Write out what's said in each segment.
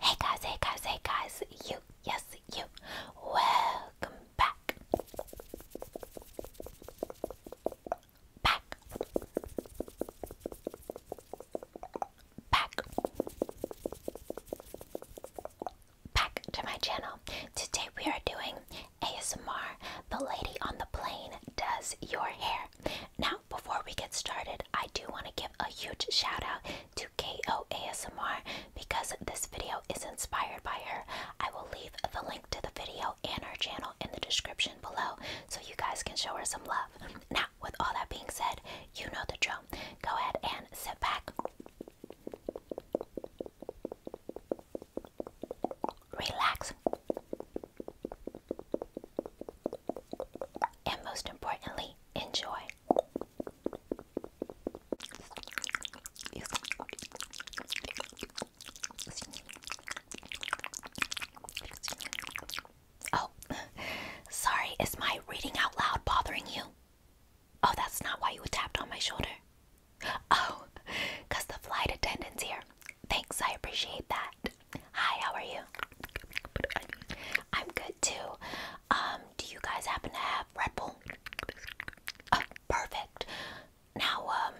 Hey guys, hey guys, hey guys, you, yes, you, welcome back. Back. Back. Back to my channel. Today we are doing ASMR. The lady on the plane does your hair. Now, before we get started, I do want to give a huge shout out to KO ASMR because this video is inspired by her. I will leave the link to the video and her channel in the description below so you guys can show her some love. Now, with all that being said, you know the drill. Go ahead and sit back relax, and most importantly, enjoy. Oh, sorry, is my reading out loud bothering you? Oh, that's not why you tapped on my shoulder. Oh, because the flight attendant's here. Thanks, I appreciate that. Hi, how are you? I'm good too. Um, do you guys happen to have Red Bull? Oh, perfect. Now, um,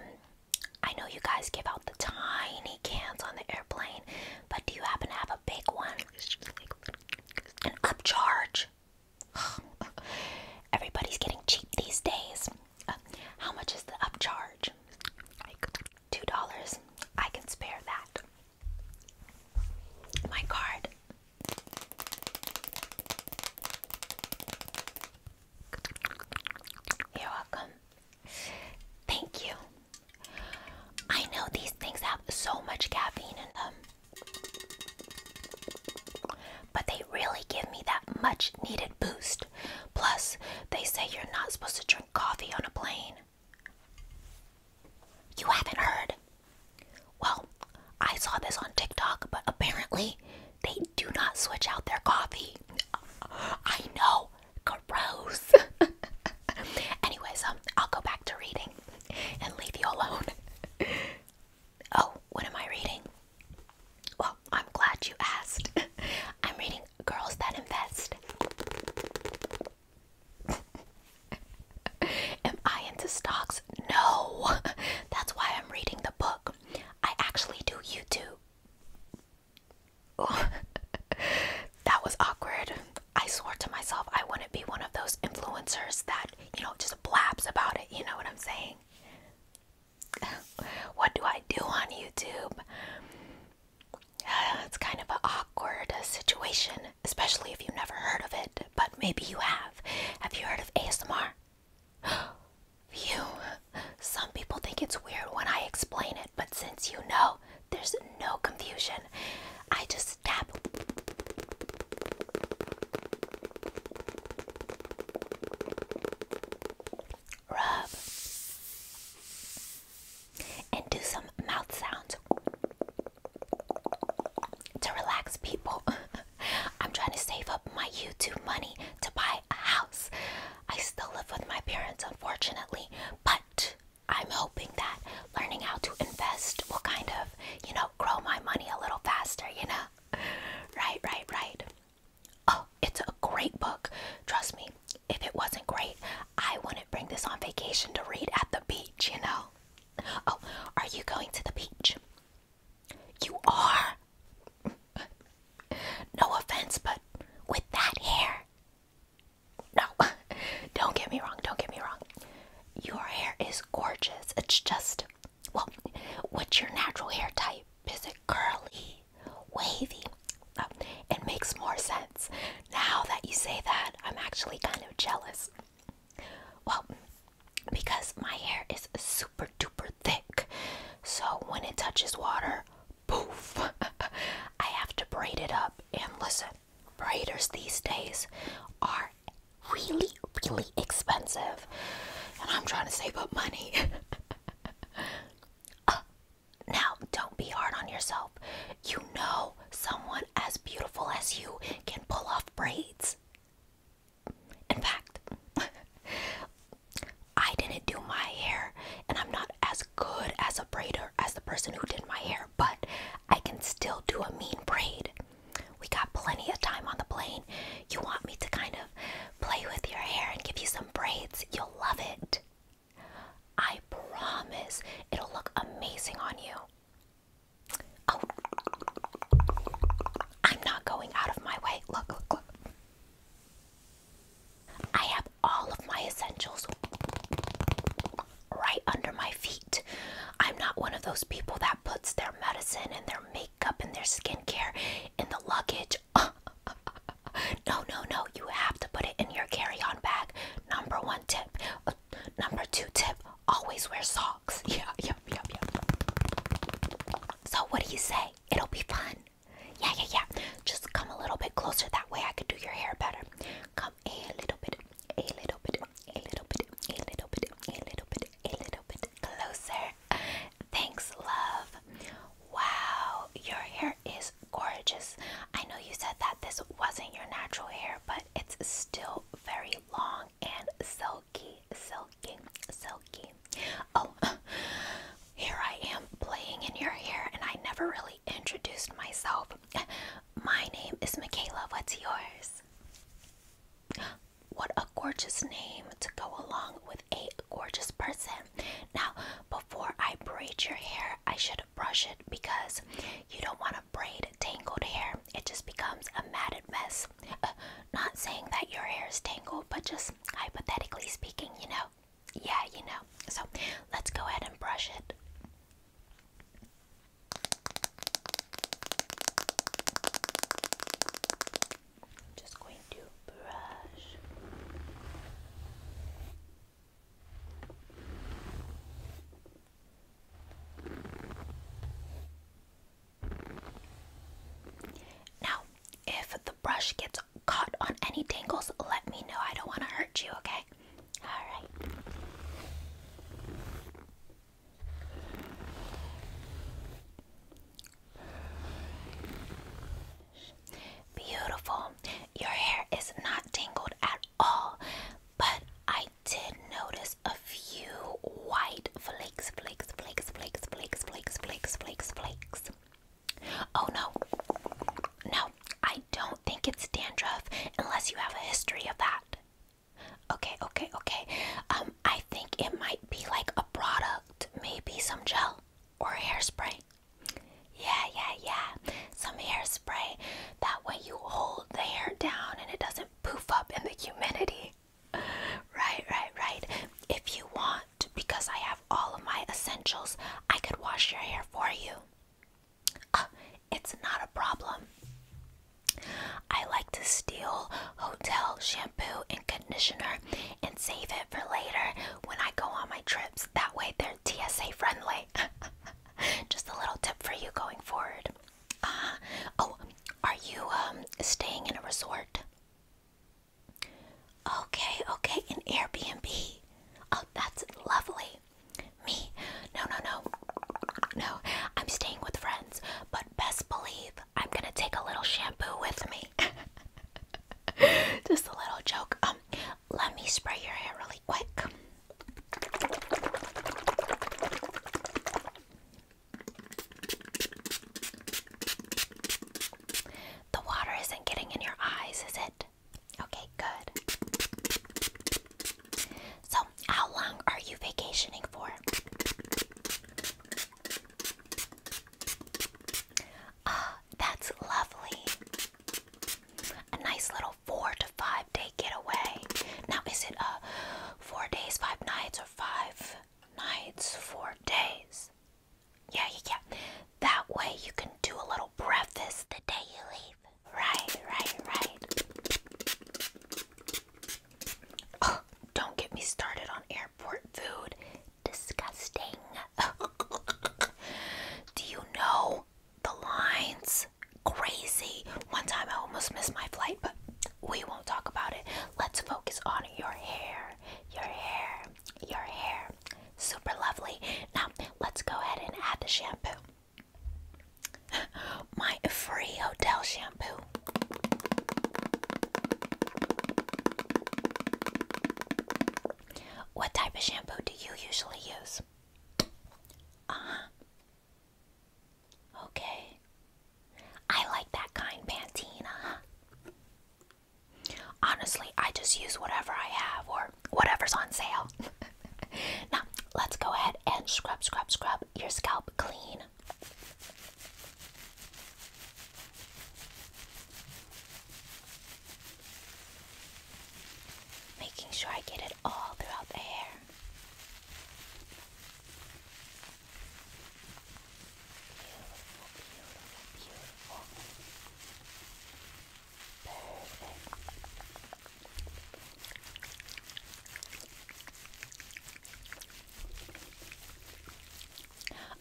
I know you guys give out the tiny cans on the airplane, but do you happen to have a big one? An upcharge. Everybody's getting cheap these days. Uh, how much is the upcharge? Two dollars. I can spare that. My card. You're welcome. Thank you. I know these things have so much caffeine in them, but they really give me that much needed boost. Plus, they say you're not supposed to drink coffee on a plane. You haven't heard? Well, I saw this on TikTok, but apparently they do not switch out their coffee. I know, gross. Anyways, um, I'll go back to reading and leave you alone. oh, what am I reading? Well, I'm glad you asked. I'm reading Girls That Invest. Am I into stocks? No. That's why I'm reading the book. I actually do YouTube. that was awkward. I swore to myself I wouldn't be one of those influencers that, you know, just blabs about it. You know what I'm saying? what do I do on YouTube? it's kind of an awkward uh, situation, especially if you've never heard of it, but maybe you have. Have you heard of ASMR? Phew. Some people think it's weird when I explain it, but since you know, there's no confusion. I just tap rub, and do some mouth sounds to relax people. I'm trying to save up my YouTube money to buy a house. I still live with my parents, unfortunately, but I'm hoping that learning how to invest will kind of, you know, grow my money a little faster, you know? Right, right, right. Oh, it's a great book. Trust me, if it wasn't great, I wouldn't bring this on vacation to read at the beach, you know. Oh, are you going to the beach? You are. no offense, but with that hair. No, don't get me wrong, don't get me wrong. Your hair is gorgeous. It's just, well, what's your natural hair type? Is it curly? wavy, Oh, it makes more sense. Now that you say that, I'm actually kind of jealous. Well, because my hair is super duper thick, so when it touches water, poof, I have to braid it up. And listen, braiders these days are really, really expensive. And I'm trying to save up money. Uh, now, don't be hard on yourself. You know someone as beautiful as you can pull off braids. In fact, I didn't do my hair, and I'm not as good as a braider as the person who did my hair, but I can still do a mean braid. We got plenty of time on the plane. You want me to kind of play with your hair and give you some braids? You'll love it. I promise it'll look amazing on you. Oh. I'm not going out of my way. Look, look, look. I have all of my essentials right under my feet. I'm not one of those people that puts their medicine and their makeup and their skincare in the luggage no, no, no. You have to put it in your carry on bag. Number one tip. Uh, number two tip always wear socks. Yeah, yeah, yeah, yeah. So, what do you say? It'll be fun. Yeah, yeah, yeah. Just come a little bit closer. That way I could do your hair better. Come a little bit, a little bit, a little bit, a little bit, a little bit, a little bit closer. Thanks, love. Wow, your hair is gorgeous. I know you said that this wasn't your natural hair, but it's still very long and silky, silky, silky. Oh, here I am playing in your hair, and I never really introduced myself. My name is Michaela. What's yours? What a gorgeous name to go along with a gorgeous person. Now, before I braid your hair, I should brush it because you don't want to braid tangled hair. It just becomes a matted mess. Uh, not saying that your hair is tangled, but just hypothetically speaking, you know. Yeah, you know. So let's go ahead and brush it. just going to brush. Now, if the brush gets caught on any tangles, let me know. I don't want to hurt you, okay? All right. Beautiful. Your hair is not tangled at all, but I did notice a few white flakes, flakes, flakes, flakes, flakes, flakes, flakes, flakes, flakes. Oh no. No, I don't think it's dandruff unless you have a history of that. Okay, okay, okay. Um, I think it might be like a product, maybe some gel or hairspray. Yeah, yeah, yeah. Some hairspray. That way you hold the hair down and it doesn't poof up in the humidity. Right, right, right. If you want, because I have all of my essentials, I could wash your hair for you. Uh, it's not a problem. I like to steal hotel shampoo and conditioner conditioner and save it for later when I go on my trips. That way they're TSA friendly. Just a little tip for you going forward. Uh, oh, are you um, staying in a resort? Okay, okay, in Airbnb. Oh, that's lovely. Me? No, no, no. No, I'm staying with friends, but best believe I'm gonna take a little shampoo with me. Just a little joke. Um, let me spray your hair really quick. The water isn't getting in your eyes, is it? Okay, good. So, how long are you vacationing for? Ah, that's lovely. A nice little four to five day getaway. Now, is it a uh, four days, five nights, or five nights, four days? Yeah, yeah, yeah. That way you can do a little breakfast the day you leave. Right, right, right. Oh, don't get me started on airport food disgusting. Do you know the lines? Crazy. One time I almost missed my flight, but we won't talk about it. Let's focus on your hair. Your hair. Your hair. Super lovely. Now, let's go ahead and add the shampoo. My free hotel shampoo. What type of shampoo do you usually use? Uh-huh. Okay. I like that kind, Pantene, uh-huh. Honestly, I just use whatever I have or whatever's on sale. now, let's go ahead and scrub, scrub, scrub your scalp clean making sure I get it all throughout the hair. Beautiful, beautiful, beautiful. Perfect.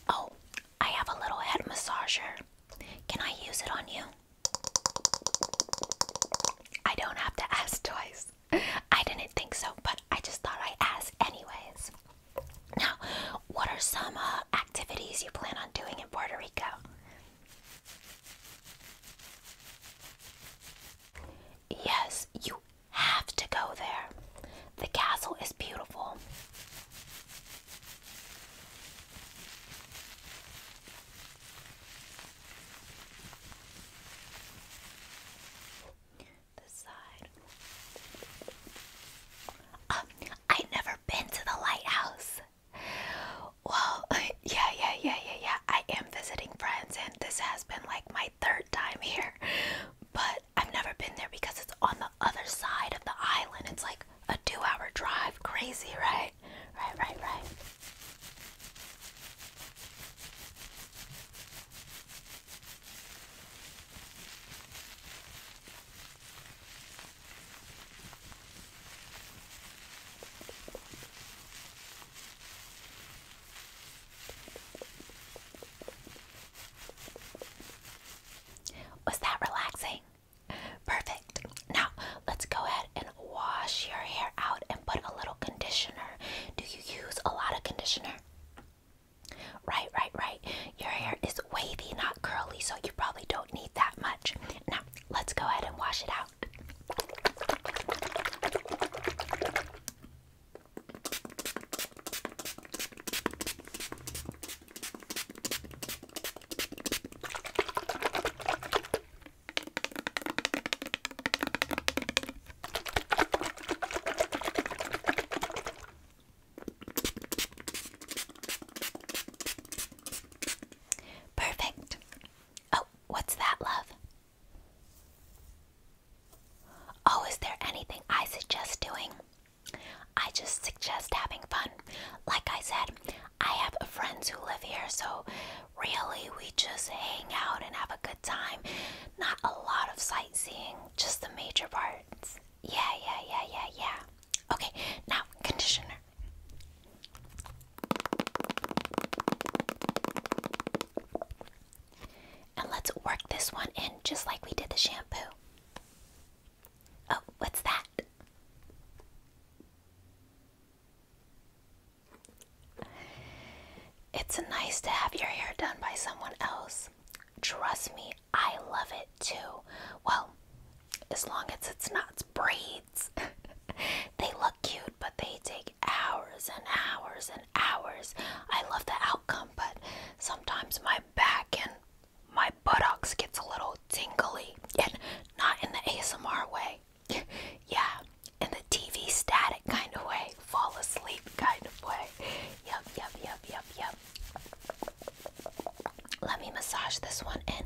Oh, I have a little head massager. Can I use it on you? I don't have to ask twice. I didn't think so, but I just thought I'd ask anyways. Now, what are some uh, activities you plan on doing in Puerto Rico? Yes, you have to go there. The castle is beautiful. The side. Um, never been to the lighthouse. Well, yeah, yeah, yeah, yeah, yeah. I am visiting friends, and this has been like my third time here, but I've never been there because it's on the other side of the island. It's like a two hour drive. Crazy, right? Right, right, right. Was that relaxing? Perfect. Now, let's go ahead and wash your hair out and put a little conditioner. Do you use a lot of conditioner? Right, right, right. Your hair is wavy, not curly, so you probably don't need that much. Now, let's go ahead and wash it out. Perfect. Oh, what's that, love? Oh, is there anything I suggest doing? I just suggest having fun. Like I said, I have friends who live here, so really we just hang out and have a good time. Not a lot of sightseeing, just the major parts. Yeah, yeah, yeah, yeah, yeah. Okay, now conditioner. And let's work this one in just like we did the shampoo. Oh, what's that? It's nice to have your hair done by someone else. Trust me, I love it too. Well, as long as it's not braids. they look cute, but they take hours and hours and hours. I love the outcome, but sometimes my back and my buttocks gets a little tingly and not in the ASMR way. yeah, in the TV static kind of way, fall asleep kind of way. Yep, yep, yep, yep, yep. Let me massage this one in.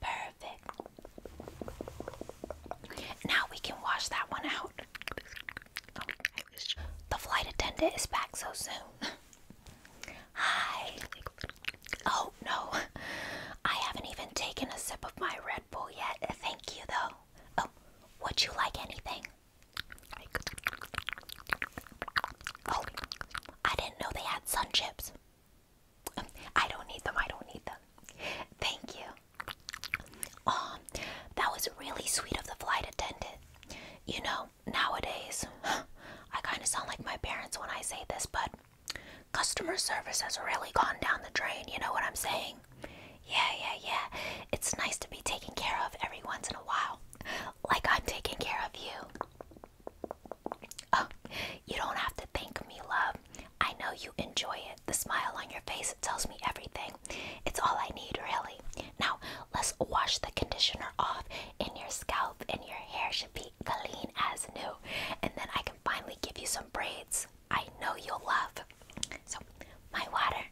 Perfect. Now we can wash that one out. The flight attendant is back so soon. Hi. Oh no. I haven't even taken a sip of my Red Bull yet. Thank you though. Oh, would you like anything? Oh, I didn't know they had sun chips. I don't need them. I don't need them. Thank you. Um, that was really sweet of the flight attendant. You know, nowadays, I kind of sound like my parents when I say this, but customer service has really gone down the drain. You know what I'm saying? Yeah, yeah, yeah. It's nice to be taken care of every once in a while. Like I'm taking care of you. Oh, you don't have to thank me, love. I know you enjoy it. The smile on your face tells me everything. It's all I need, really. Now, let's wash the conditioner off, in your scalp and your hair should be clean as new. And then I can finally give you some braids I know you'll love. So, my water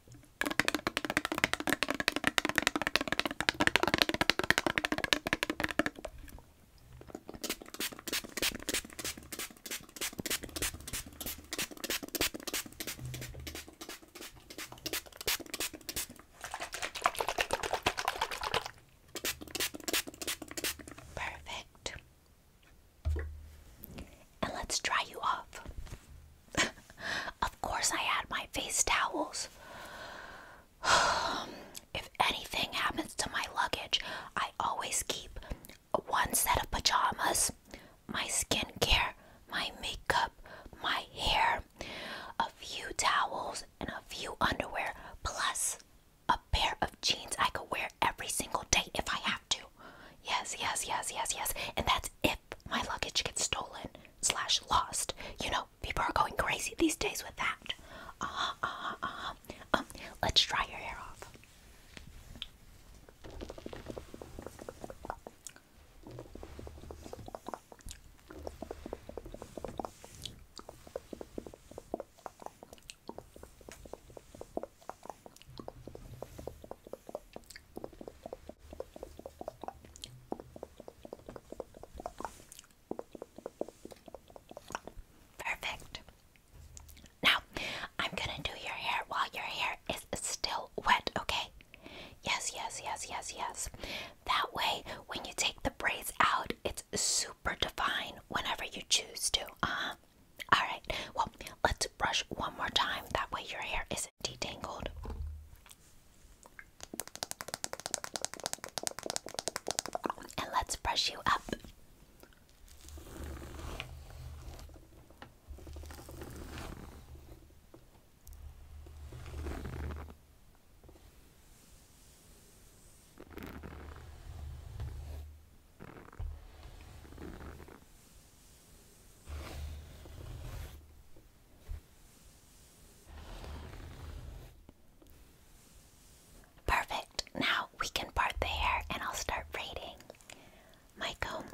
Perfect. And let's dry you off. Of course, I had my face towels. if anything happens to my luggage, I always keep one set of pajamas, my skincare, my makeup, my hair, a few towels, and a few underwear, plus a pair of jeans I could wear every single day if I have to. Yes, yes, yes, yes, yes. And that's it my luggage gets stolen slash lost. You know, people are going crazy these days with that. Uh-huh, uh-huh, uh-huh. Um, let's dry your hair off. Perfect. Now, I'm going to do your hair while your hair is still wet, okay? Yes, yes, yes, yes, yes. That way, when you take the braids out, it's super divine whenever you choose to. Uh huh. All right. Let's brush one more time. That way your hair isn't detangled. And let's brush you up. Perfect. Now we can part the hair and I'll start braiding. My comb.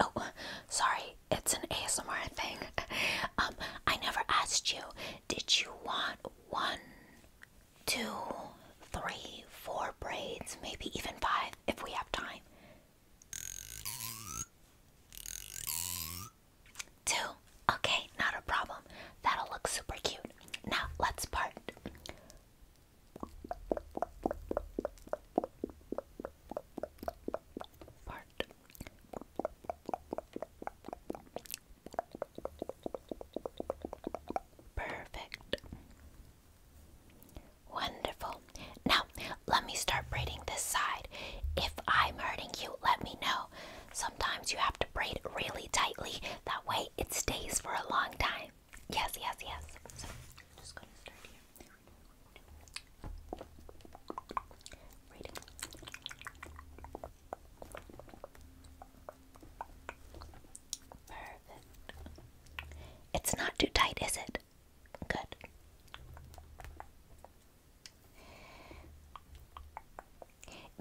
Oh, sorry it's an ASMR thing. um, I never asked you, did you want one, two, three, four braids, maybe even five if we have time? Two. Okay, not a problem. That'll look super cute. Now let's part. Part. Perfect. Wonderful. Now, let me start braiding this side. If I'm hurting you, let me know. Sometimes you have to braid really tightly, that way it stays for a long time. Yes, yes, yes. It's not too tight, is it? Good.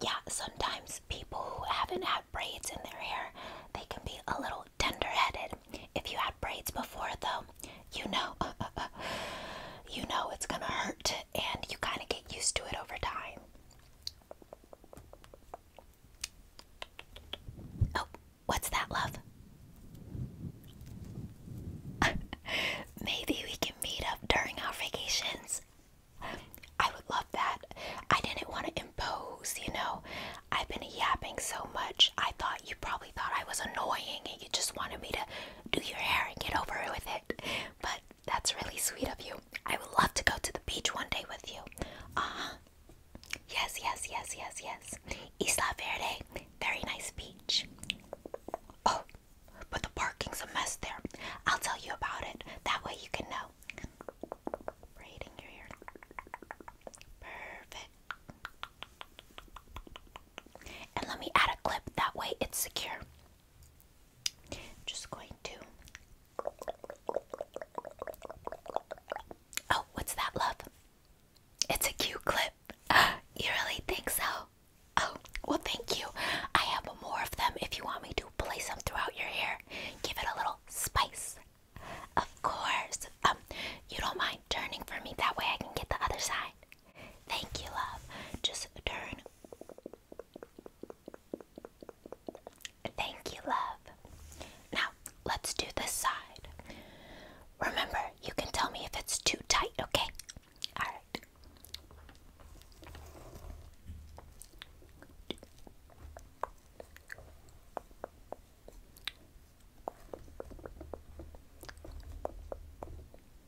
Yeah, sometimes people who haven't had braids in their hair, they can be a little tender-headed. If you had braids before, though, you know, you know it's gonna hurt, and you kind of get used to it over time. Oh, what's that, love? Maybe we can meet up during our vacations. I would love that. I didn't want to impose, you know. I've been yapping so much. I thought you probably thought I was annoying and you just wanted me to do your hair and get over with it. But that's really sweet of you. I would love to go to the beach one day with you. Ah, huh. Yes, yes, yes, yes, yes. Isla Verde, very nice beach. Oh, but the parking's a mess there. I'll tell you about it. That way you can know. Right your ear. Perfect. And let me add a clip, that way it's secure. Just going to. Oh, what's that, love? It's a cute clip. You really think so? Oh, well, thank you. I have more of them if you want me to place them throughout your hair. Give it a little spice. Of course. Um, you don't mind turning for me that way I can get the other side. Thank you, love. Just turn. Thank you, love. Now, let's do this side. Remember, you can tell me if it's too tight, okay? All right.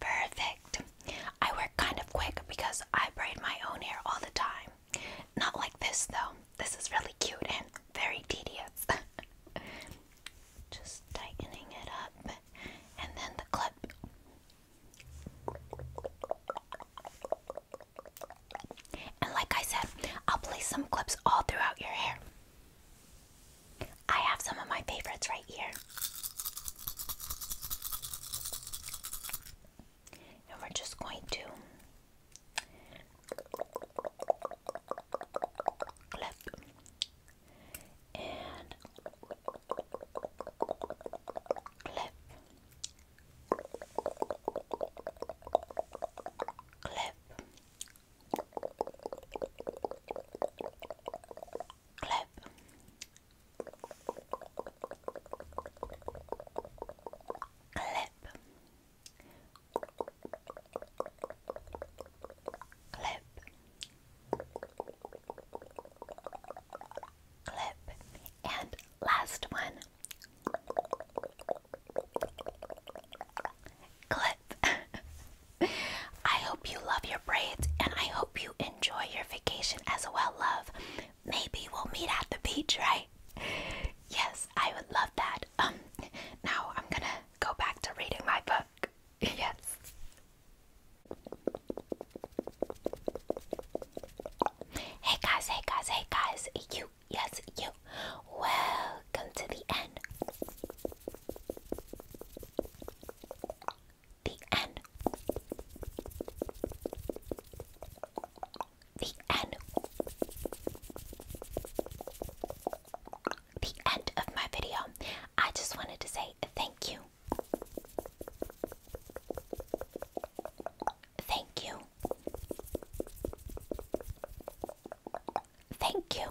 Perfect. I work kind of quick because I braid my own hair all the time. Not like this though. This is really cute and very tedious. Just tightening it up and then the clip. And like I said, I'll place some clips all throughout your hair. I have some of my favorites right here. And we're just going to clip and clip. Clip. Clip. Clip. Clip. Clip. And last one. Clip. I hope you love your braids and I hope you enjoy your vacation as well, love. Maybe we'll meet at the beach, right? Yes, I would love that. Um now I'm going to go back to reading my book. yes. Hey guys, hey guys, hey guys. You, yes, you. Welcome to the end. The N. The end. The end of my video. I just wanted to say thank you. Thank you. Thank you.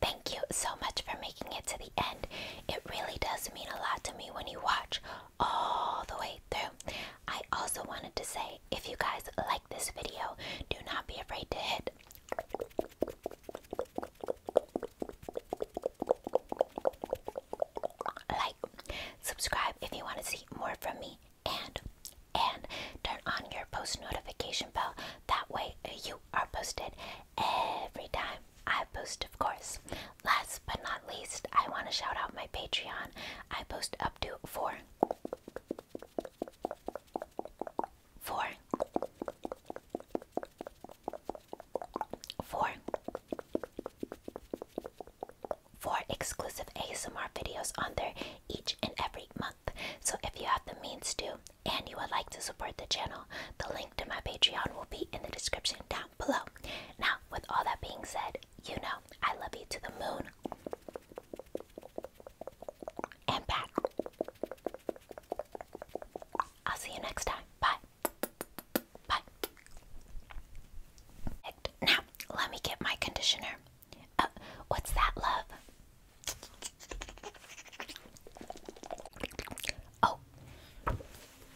Thank you so much for making it to the end. It really does mean a lot to me when you watch all the way through. I also wanted to say if you guys like this video, do not be afraid to hit like, subscribe if you want to see more from me, and and turn on your post notification bell that way you are posted every time I post, of course. Last but not least, I want to shout out my Patreon. I post up to four. exclusive ASMR videos on there each and every month. So if you have the means to, and you would like to support the channel, the link to my Patreon will be in the description down below. Now, with all that being said, you know I love you to the moon and back. I'll see you next time. Bye. Bye. Now, let me get my conditioner. Uh, what's that, love? Oh,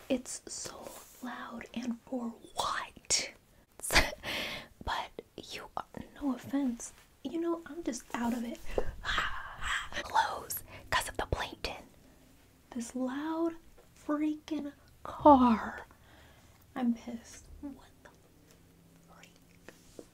it's so loud and for what? but you no offense, you know, I'm just out of it. Close of the plankton. This loud freaking car. I'm pissed. What the freak?